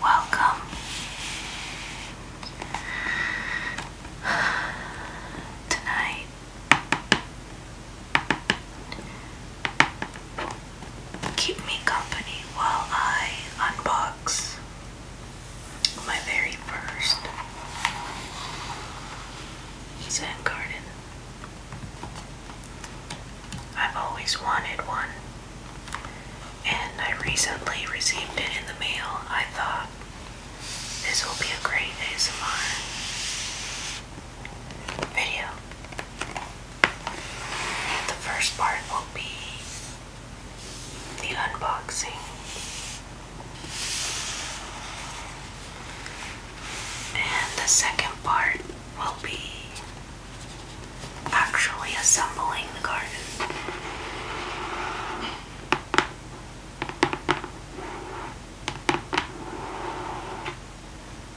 Welcome tonight keep me company while I unbox my very first Zen garden. I've always wanted one, and I recently received it in the mail. I thought this will be a great ASMR video. The first part will be the unboxing. And the second part will be actually assembling the garden.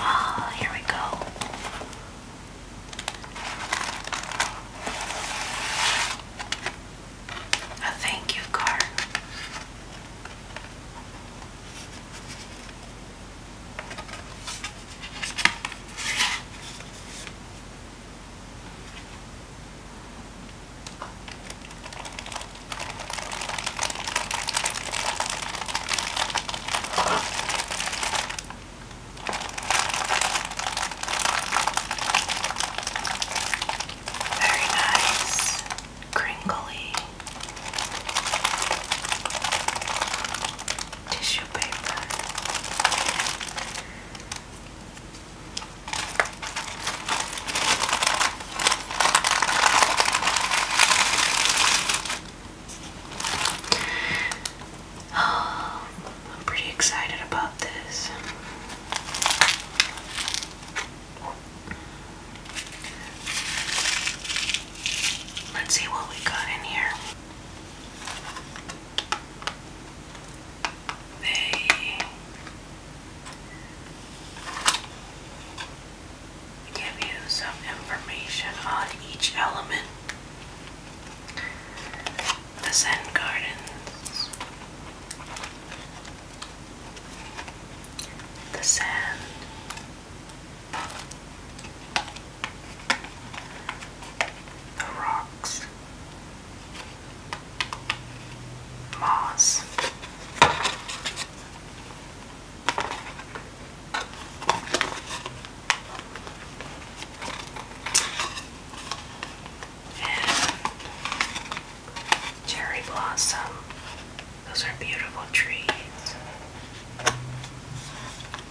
Ah, here we go. A thank you card. Very nice, crinkly tissue paper. Oh, I'm pretty excited about this. Let's see what we got in here. They give you some information on each element. The Zen Gardens, the sand, the rocks, Mars. And cherry blossom. Those are beautiful trees.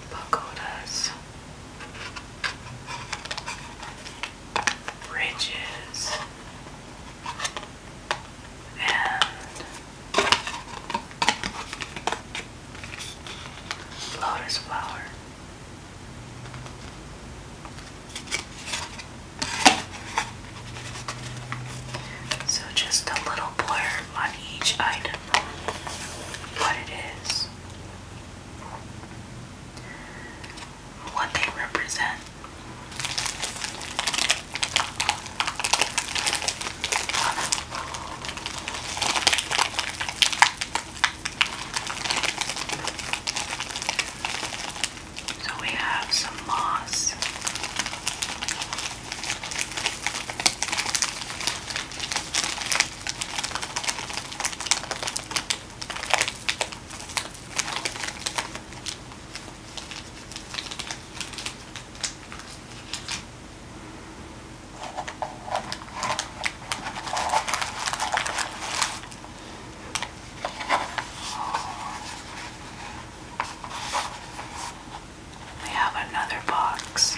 Pagodas. Ridges lotus flower. So just a little blurb on each item, what it is what they represent. So we have some moss. We have another box.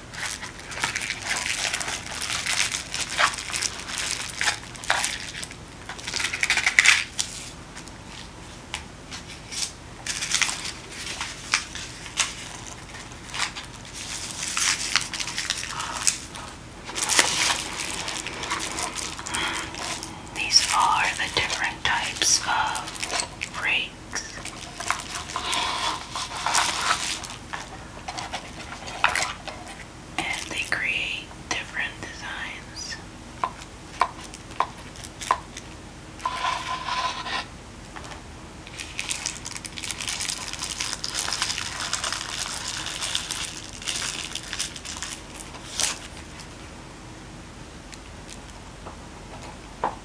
These are the different types of free and they create different designs.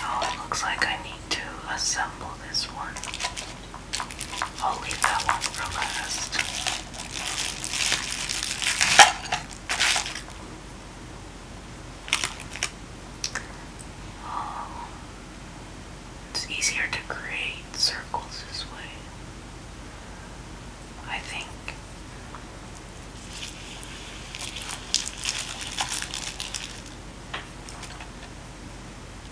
Now oh, it looks like I need to assemble this one. I'll leave that one for last. Oh, it's easier to create circles this way. I think.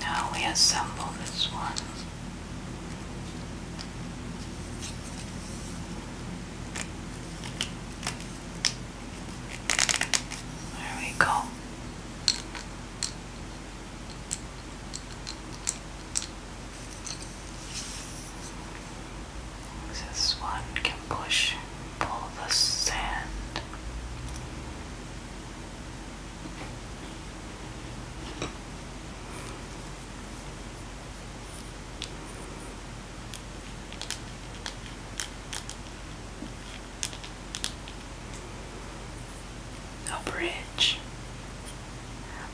Now we assemble this one. There we go. This one can push, pull the sand. A bridge,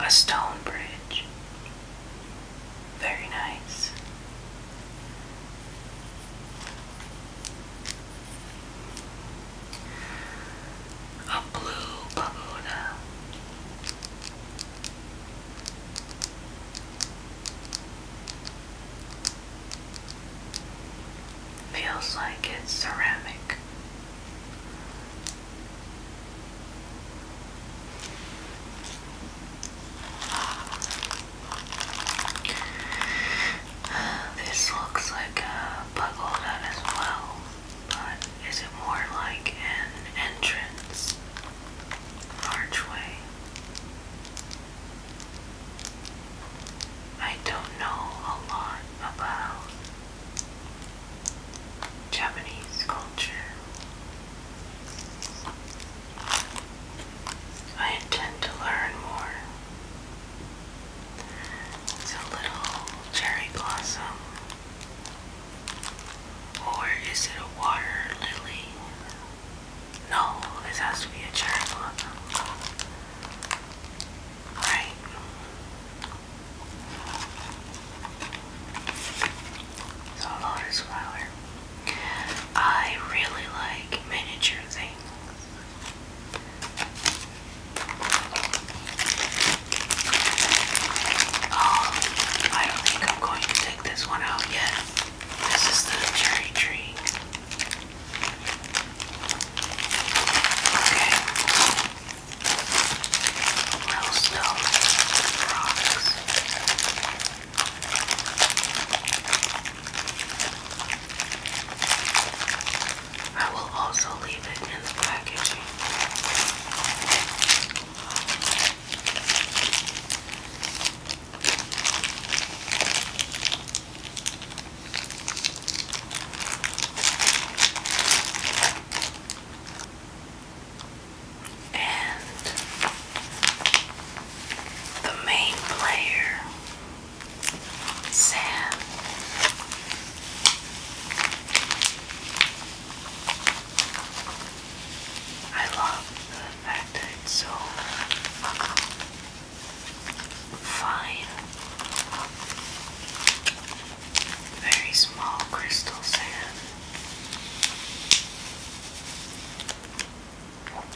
a stone bridge, very nice. A blue pagoda. Feels like it's ceramic. This looks like a buckle nut as well, but is it more like an entrance? archway? I don't know a lot about Japanese culture. I intend to learn more. It's a little cherry blossom. Or is it a water lily? No, this has to be a cherry blossom. Alright. So lotus flower. I really like miniature things. Um, I don't think I'm going to take this one out yet. This is the cherry tree. Okay. Millstone rocks. I will also leave it in the packaging. And the main player Sam. I love that it's so fine. Very small crystal sand.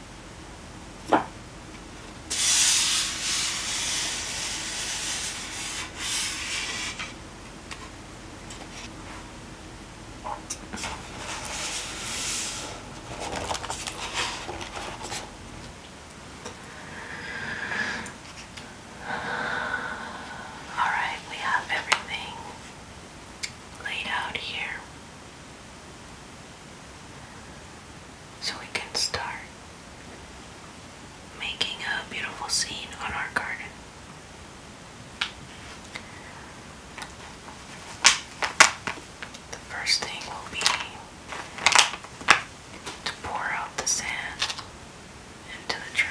All right, we have everything laid out here so we can start making a beautiful scene on our garden. The first thing will be to pour out the sand into the tray.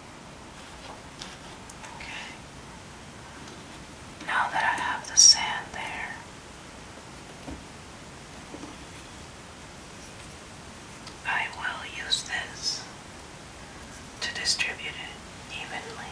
Okay. Now that I have the sand there, I will use this to distribute it evenly.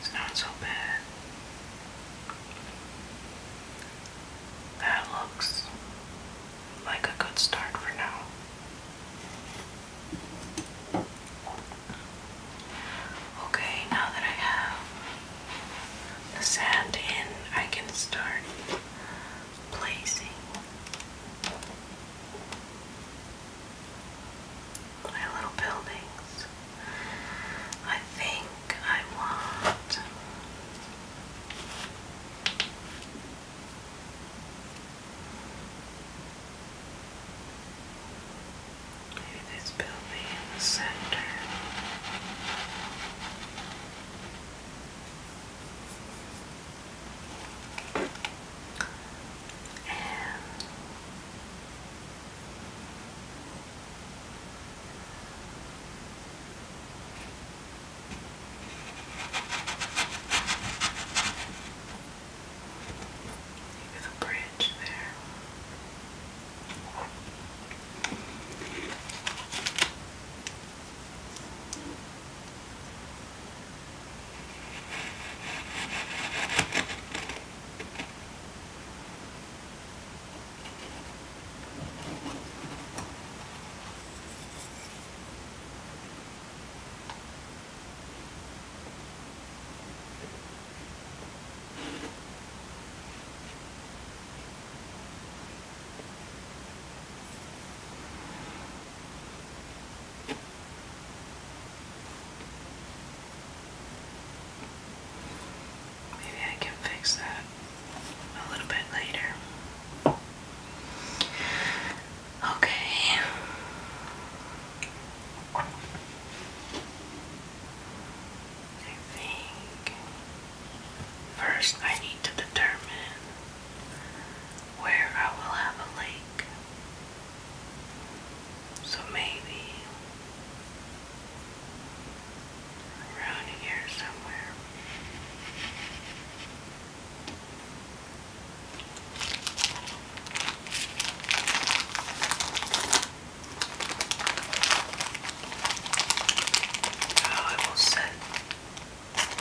It's not so bad. That looks like a good start for now. Okay, now that I have the sand in, I can start placing. My little buildings. I think I want Maybe this building in the center. And Maybe the bridge there. Maybe I can fix that a little bit later. Okay. I think first I need to determine where I will have a lake. So maybe around here somewhere. Now I will set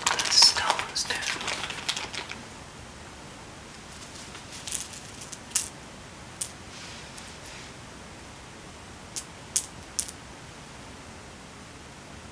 the stones down.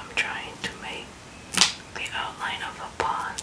I'm trying to make the outline of a pond.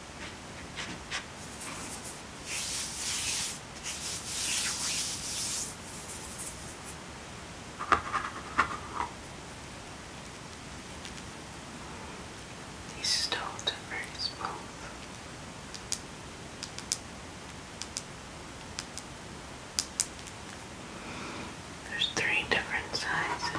These stones are very smooth. There's three different sizes.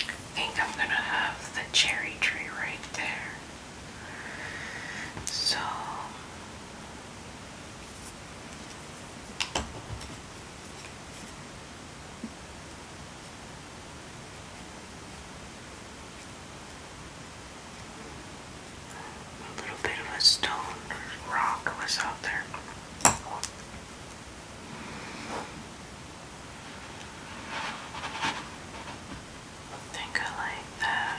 I think I'm gonna have the cherry tree right there. So a little bit of a stone or rock was out there. I think I like that.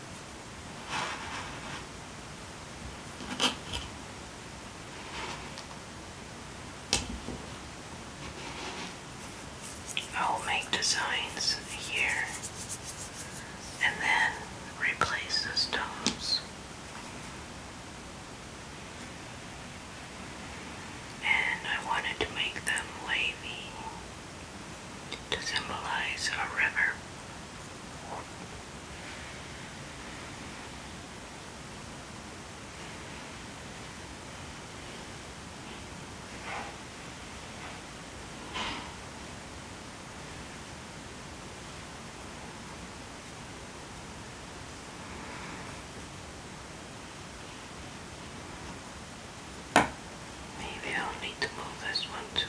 I'll make designs here and then replace the stones. And I wanted to make them wavy to symbolize a river. Maybe I'll need to move this one too.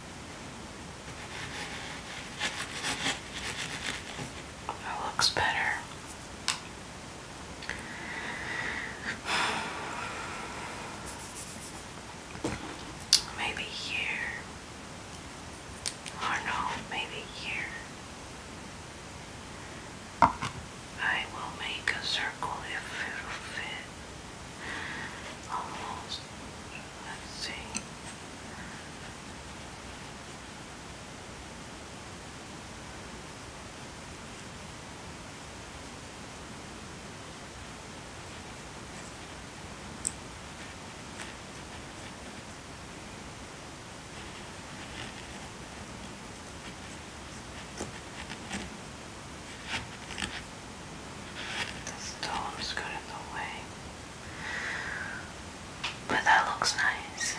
That looks better. Maybe here. Or oh, no, maybe here. I will make a circle if it'll fit almost, let's see. The stone's in the way. But that looks nice.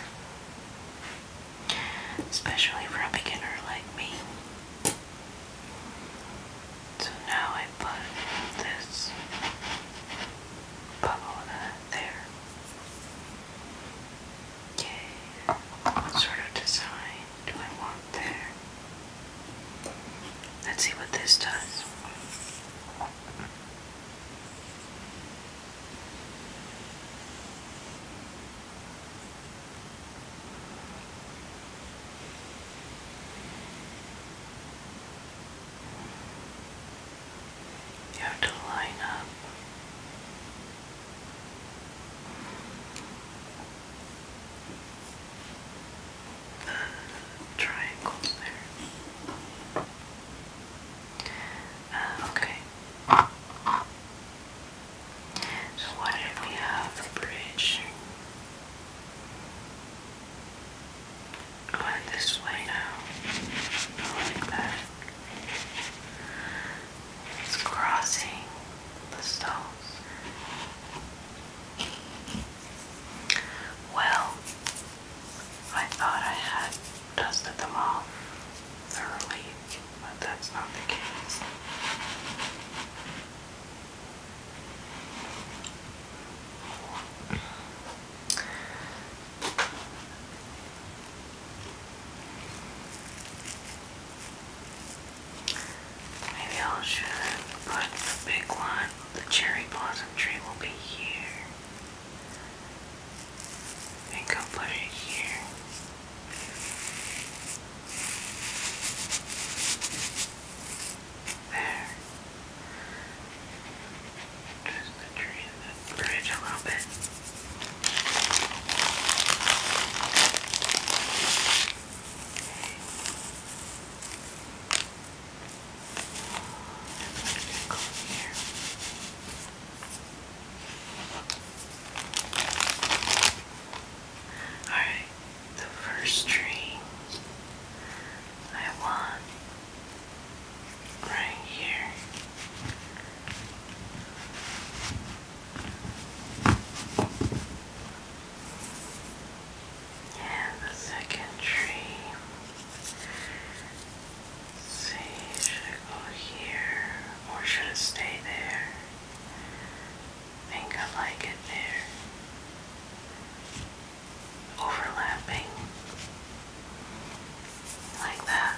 Especially for a beginner like me. So now I put this pagoda there. Yay. Sort of design do I want there? Let's see what this does. You have to line up triangle there. Uh, okay. So what if we have a bridge? Going this way now. Like that. It's crossing the stones. Well, I thought I had dusted them off thoroughly, but that's not the case. Maybe I should put the big one. The cherry blossom tree will be here. I I'll put it here. There. Just the tree and the bridge a little bit go here. Alright, the first tree I want right here. And the second tree. see, should I go here or should it stay there? think I like it there. Overlapping. Like that.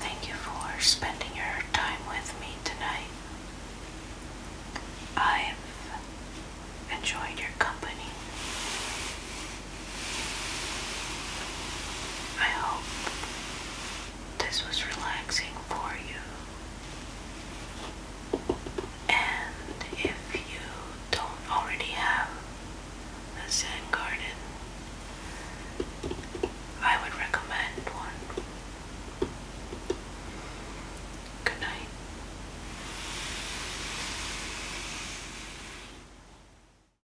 Thank you for spending your time with me tonight. I've enjoyed your company. I hope this was relaxing for you. And if you don't already have a Zen garden, I would recommend one. Good night.